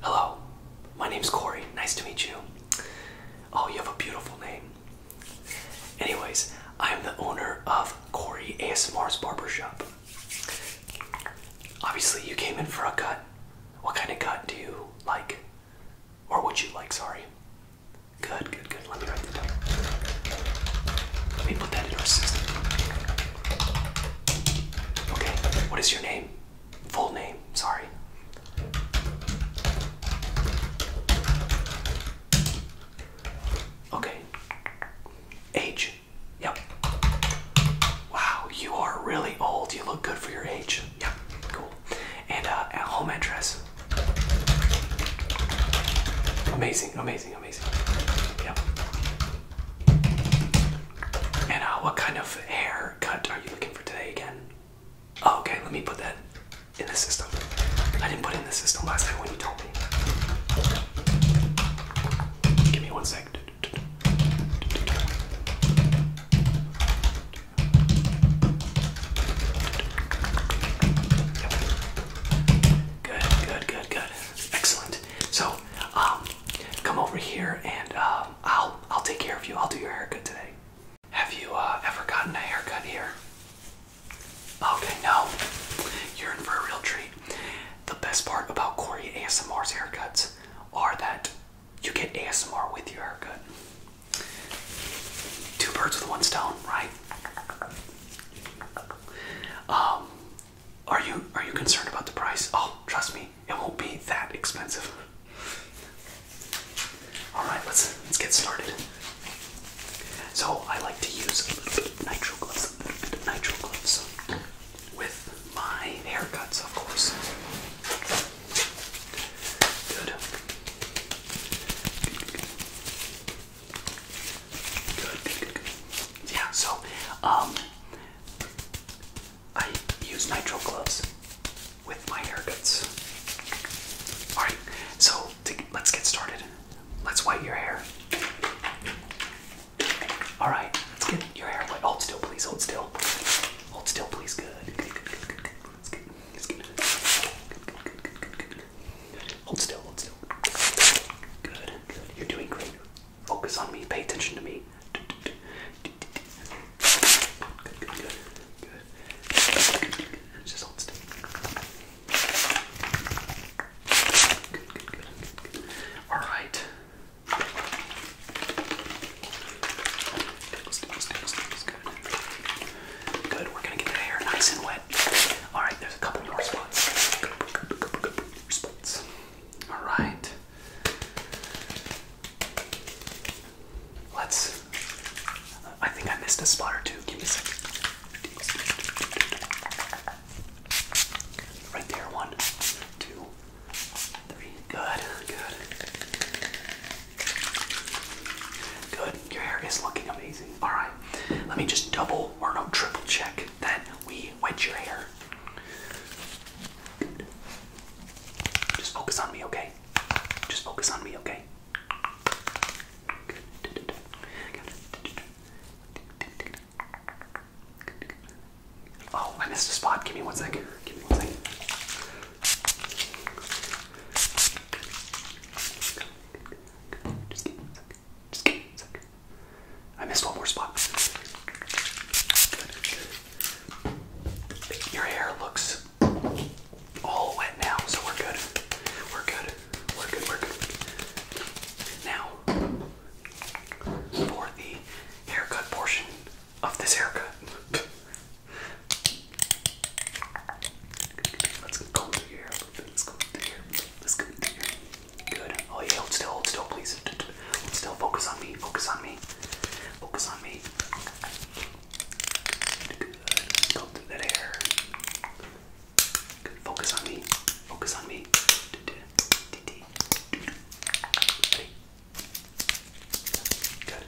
Hello, my name's Corey. Nice to meet you. Oh, you have a beautiful name. Anyways, I'm the owner of Corey ASMR's Barbershop. Obviously, you came in for a cut. What kind of cut do you like? Or would you like, sorry? Good, good, good. Let me write that down. Let me put that in our system. Okay, what is your name? full name, sorry. Okay. Age. Yep. Wow, you are really old. You look good for your age. Yep, cool. And uh, home address. Amazing, amazing, amazing. Yep. And uh, what kind of haircut are you looking for today again? Oh, okay, let me put that in the system. I didn't put in the system last time when you told me. Give me one second. Good, good, good, good. Excellent. So, um, come over here and uh, I'll I'll take care of you. I'll do your haircut today. Have you uh, ever gotten a haircut here? Okay, no. You're in for a real treat. The best part about Corey ASMR's haircuts are that you get ASMR with your haircut. Two birds with one stone, right? Um, are you are you concerned about the price? Oh, trust me, it won't be that expensive. All right, let's let's get started. So I like to use a little bit of nitro gloves, a little bit of nitro gloves with my haircuts, of course. good. Yeah, so um I use nitro gloves with my haircuts. Alright, so let's get started. Let's white your hair. Alright, let's get your hair white. Hold still, please, hold still. Hold still, please. Good, good, good, good, good, good, good, good, Hold still, hold still. Good, good. You're doing great. Focus on me, pay attention to me. Good, good, good. Good. Just hold still. Good, good, good, good, good. Alright. Good. Good. We're gonna get the hair nice and Alright, there's a couple more spots. spots. Alright. Let's. I think I missed a spot or two. Give me a second. Right there. One, two, three. Good, good. Good. Your hair is looking amazing. All right, let me just double or no triple check that we wet your hair. Just focus on me, okay? Just focus on me, okay? Oh, I missed a spot. Give me one second. Give me one second. Just give me a second. Just give me a second. I missed one more spot. Your hair looks all wet now, so we're good. We're good. We're good. We're good. Now, for the haircut portion of this haircut, let's comb through your Let's go in there. Let's go in there. Good. Oh yeah, hold still, hold still, please. Hold still. Focus on me. Focus on me. Focus on me. Good. Go through that hair. Good. Focus on me. Focus on me. Ready? Good.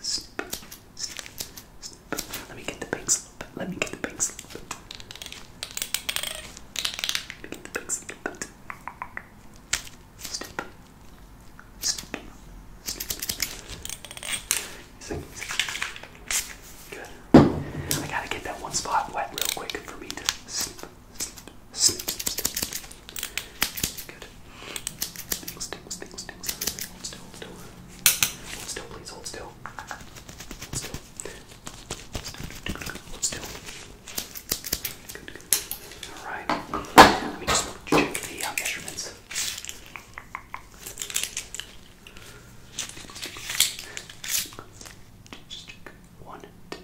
Snip, snip, snip. Let me get the big slip. Let me get the big slip. Let me get the big slip. Snip, snip, snip. Good. I gotta get that one spot wet real quick for me to snip, snip, Snip, snip, snip. Good. Still, still, still, still, Hold still, still. Hold still, please, hold still. Hold still. Hold still. Good, good. Alright. Let me just check the uh, measurements. Just check. One, two,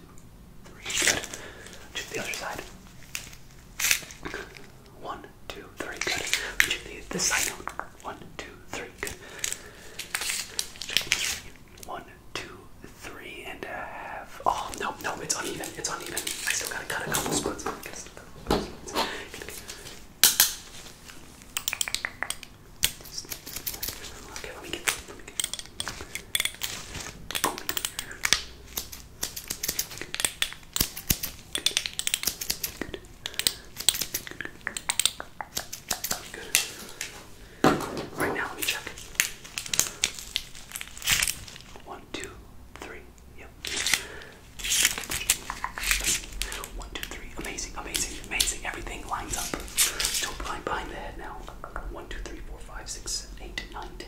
Good. Check the other side. One, two, three. Good. Check the this side One, two, three. Good. One, two, three, and a half. Oh no, no, it's uneven. It's uneven. I still gotta cut a couple splits. Okay, let me get. Let me get. Good. Right now, let me check. One, two, three. Yep. One, two, three. Amazing, amazing, amazing. Everything lines up. Don't blind behind the head now. One, two, three, four, five, six, seven, eight, nine, ten.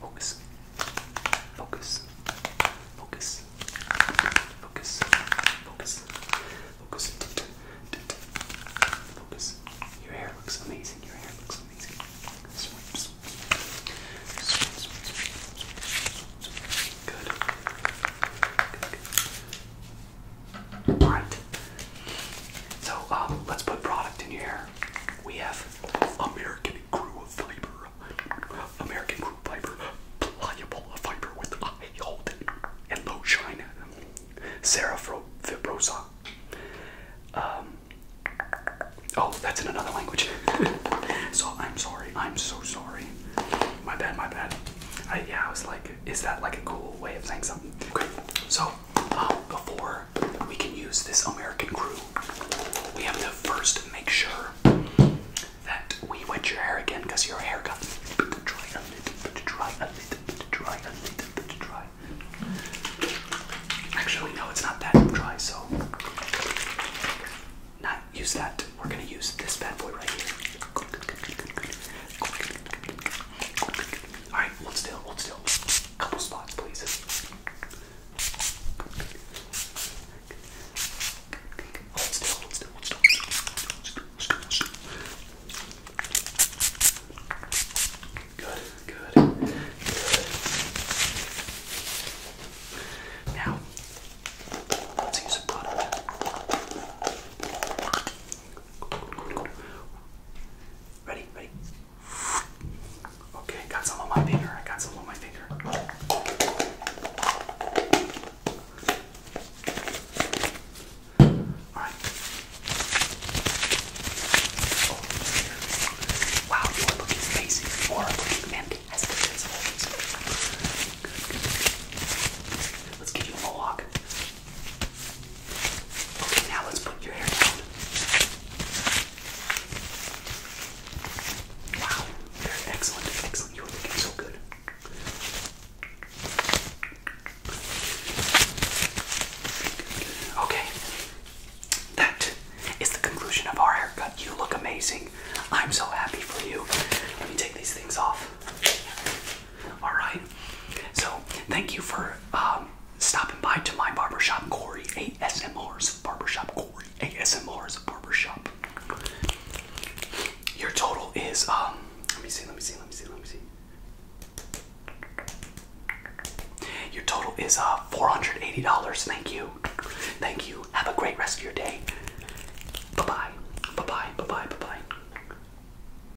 Focus. Focus. Focus. Focus. Focus. Focus. Your hair looks amazing. Your hair looks amazing. Good. Good. So um, let's put product in your hair. We have American crew fiber. American crew fiber. Pliable fiber with high hold and low shine. Sarah Fibrosa. Um, oh, that's in another language. so I'm sorry. I'm so sorry. My bad, my bad. yeah, I was like, is that like a cool way of saying something? Okay, so um, before we can use this American crew. We have to first make sure that we wet your hair again because your hair got a bit dry, a little bit dry, a little bit dry, a little bit dry. Actually, no, it's not that dry, so not use that. We're gonna use this bad boy right here. Alright, hold still, hold still. Couple spots, please. Hold still, hold still, hold still, hold still, hold still. Good, good, good. Now, let's use a product. Ready, ready. Okay, got some on my finger. I got some on my finger. Alright. Wow, you are looking amazing. You are looking fantastic Let's give you a mohawk. Okay, now let's put your hair down. Wow, they're excellent, excellent. You are looking so good. Okay, that is the conclusion of our haircut. You look amazing. I'm so happy for you. Let me take these things off. All right. So thank you for um, stopping by to my barbershop, Corey ASMR's barbershop, Corey ASMR's barbershop. Your total is um. Let me see. Let me see. Let me see. Let me see. Your total is uh $480. Thank you. Thank you. Have a great rest of your day. Bye-bye. Bye-bye. Bye-bye. Bye-bye.